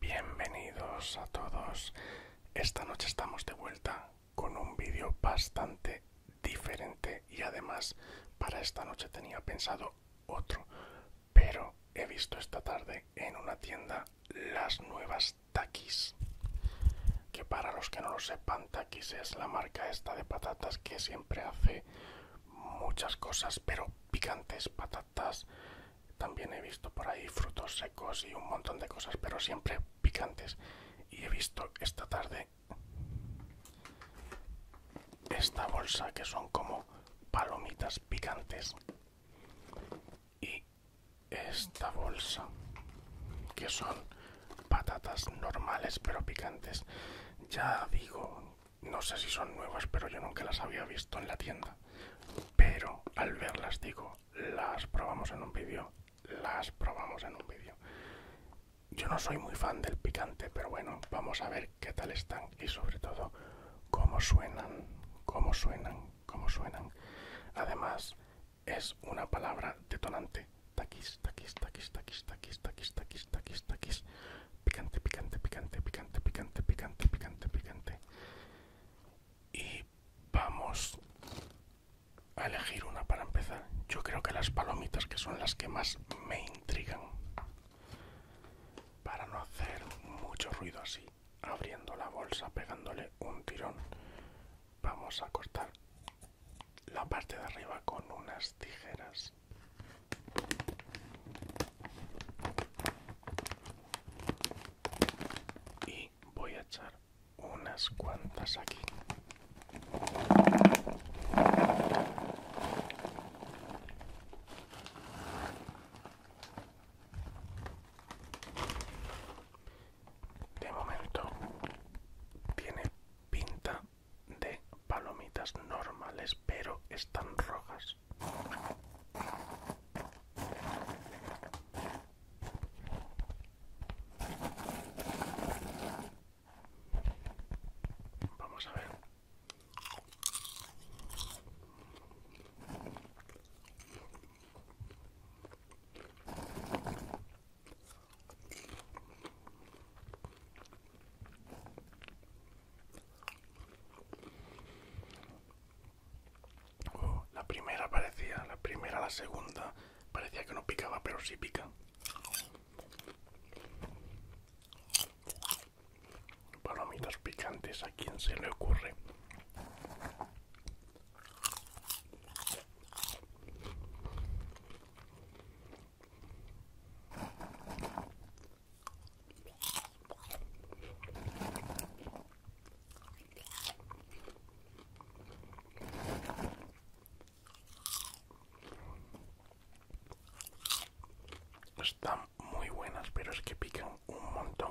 Bienvenidos a todos. Esta noche estamos de vuelta con un vídeo bastante diferente y además para esta noche tenía pensado otro, pero he visto esta tarde en una tienda las nuevas Takis. Que para los que no lo sepan, Takis es la marca esta de patatas que siempre hace muchas cosas, pero picantes, patatas, también he visto por ahí frutos secos y un montón de cosas, pero siempre picantes. Y he visto esta tarde esta bolsa que son como palomitas picantes y esta bolsa que son patatas normales pero picantes. Ya digo no sé si son nuevas, pero yo nunca las había visto en la tienda. Pero al verlas digo, las probamos en un vídeo, las probamos en un vídeo. Yo no soy muy fan del picante, pero bueno, vamos a ver qué tal están y sobre todo cómo suenan, cómo suenan, cómo suenan. Además, es una palabra detonante. Taquis, taquis, taquis, taquis, taquis, taquis, taquis, taquis, Picante, picante, picante, picante, picante, picante, picante, picante. Y vamos a elegir una para empezar. Yo creo que las palomitas, que son las que más me intrigan. Para no hacer mucho ruido así, abriendo la bolsa, pegándole un tirón, vamos a cortar la parte de arriba con unas tijeras y voy a echar unas cuantas aquí de momento tiene pinta de palomitas normales, pero están rojas. Vamos a ver. Oh, la primera parecía, la primera, la segunda parecía que no picaba, pero sí pica. Palomitas picantes, ¿a quien se le ocurre? Están muy buenas, pero es que pican un montón.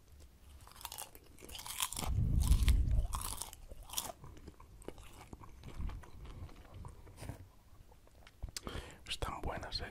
Están buenas, eh.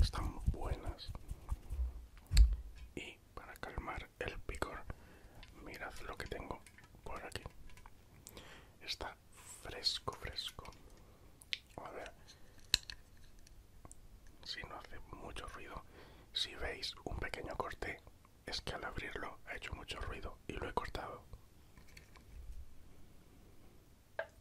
están buenas y para calmar el picor mirad lo que tengo por aquí está fresco fresco a ver si no hace mucho ruido si veis un pequeño corte es que al abrirlo ha hecho mucho ruido y lo he cortado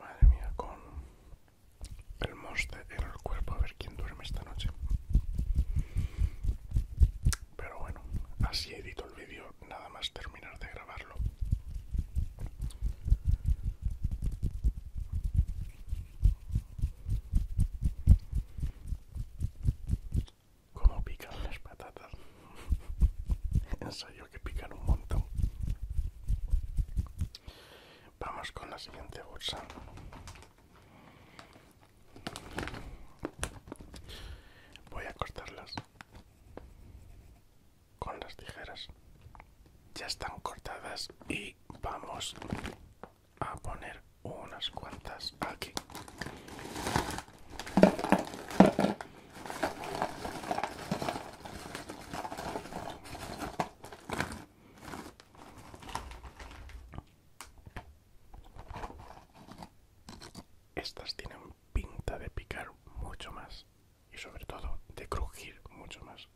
Madre mía, con el monster en el cuerpo a ver quién duerme esta noche. Pero bueno, así edito el vídeo nada más terminar de grabarlo. Como pican las patatas. Ensayo que pican un montón. Vamos con la siguiente bolsa. Voy a cortarlas con las tijeras. Ya están cortadas y vamos a poner unas cuantas aquí. Estas tienen pinta de picar mucho más y sobre todo de crujir mucho más.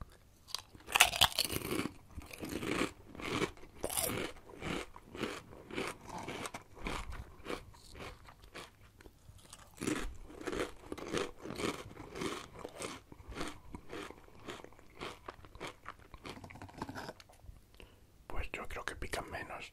Pues yo creo que pican menos.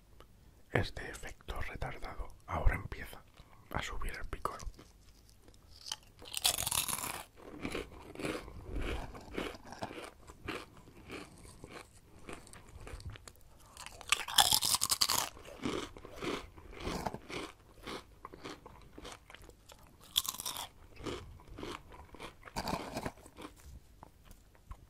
Este efecto retardado ahora empieza a subir el picor.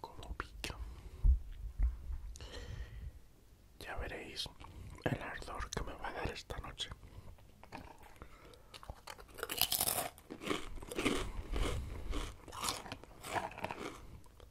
Como pica. Ya veréis el ardor que me va a dar esta noche.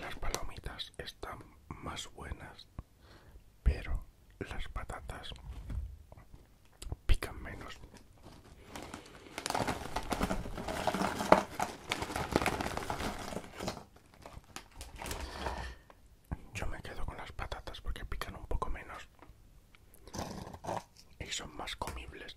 Las palomitas están más buenas, pero las patatas pican menos. Yo me quedo con las patatas porque pican un poco menos y son más comibles.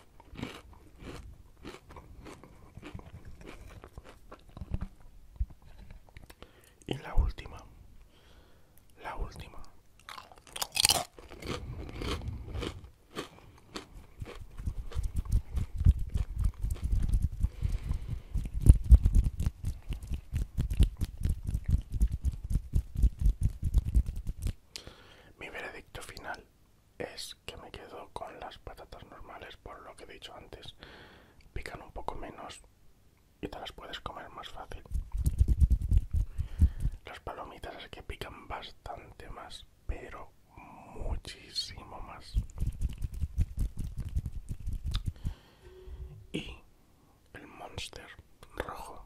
Y la última, la última. Mi veredicto final es que me quedo con las patatas normales por lo que he dicho antes. Pican un poco menos y te las puedes comer más fácil. Las palomitas es que pican bastante más, pero muchísimo más. Y el monster rojo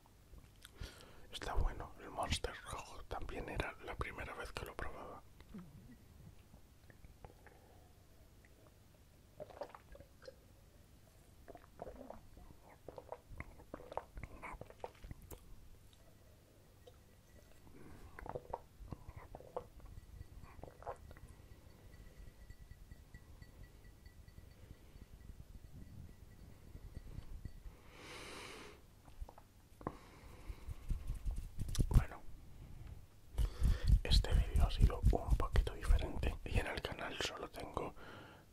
Está bueno, el Monster rojo también era la primera vez que lo probaba. Bueno, este vídeo ha sido un poquito diferente y en el canal solo tengo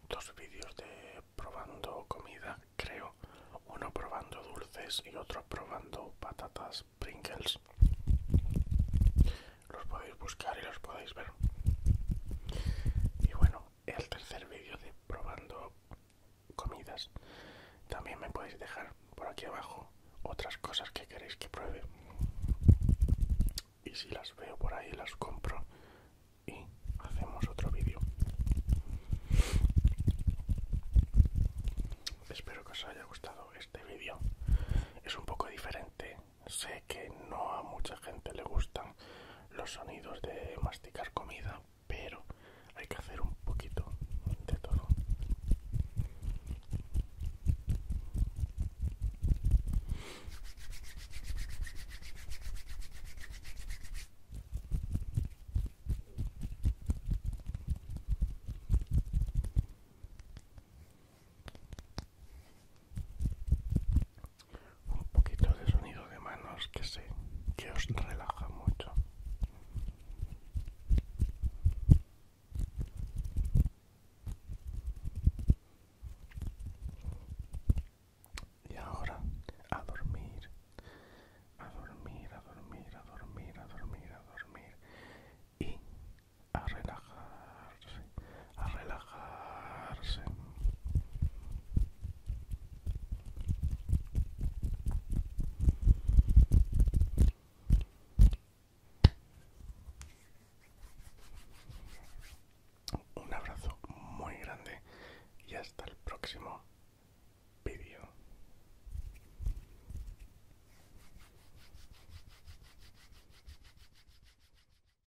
dos vídeos de probando comida, creo, uno probando dulces y otro probando patatas Pringles. Los podéis buscar y los podéis ver. Y bueno, el tercer vídeo de probando comidas. También me podéis dejar por aquí abajo otras cosas que queréis que pruebe. Y si las veo por ahí las compro y hacemos otro vídeo. Espero que os haya gustado este vídeo. Es un poco diferente sé que no a mucha gente le gustan los sonidos de masticar comida, pero hay que hacer un poquito de todo un poquito de sonido de manos que sé que os relaja mucho y ahora a dormir a dormir a dormir a dormir a dormir a dormir y a relajar a relajarse. Un abrazo muy grande y hasta el próximo vídeo.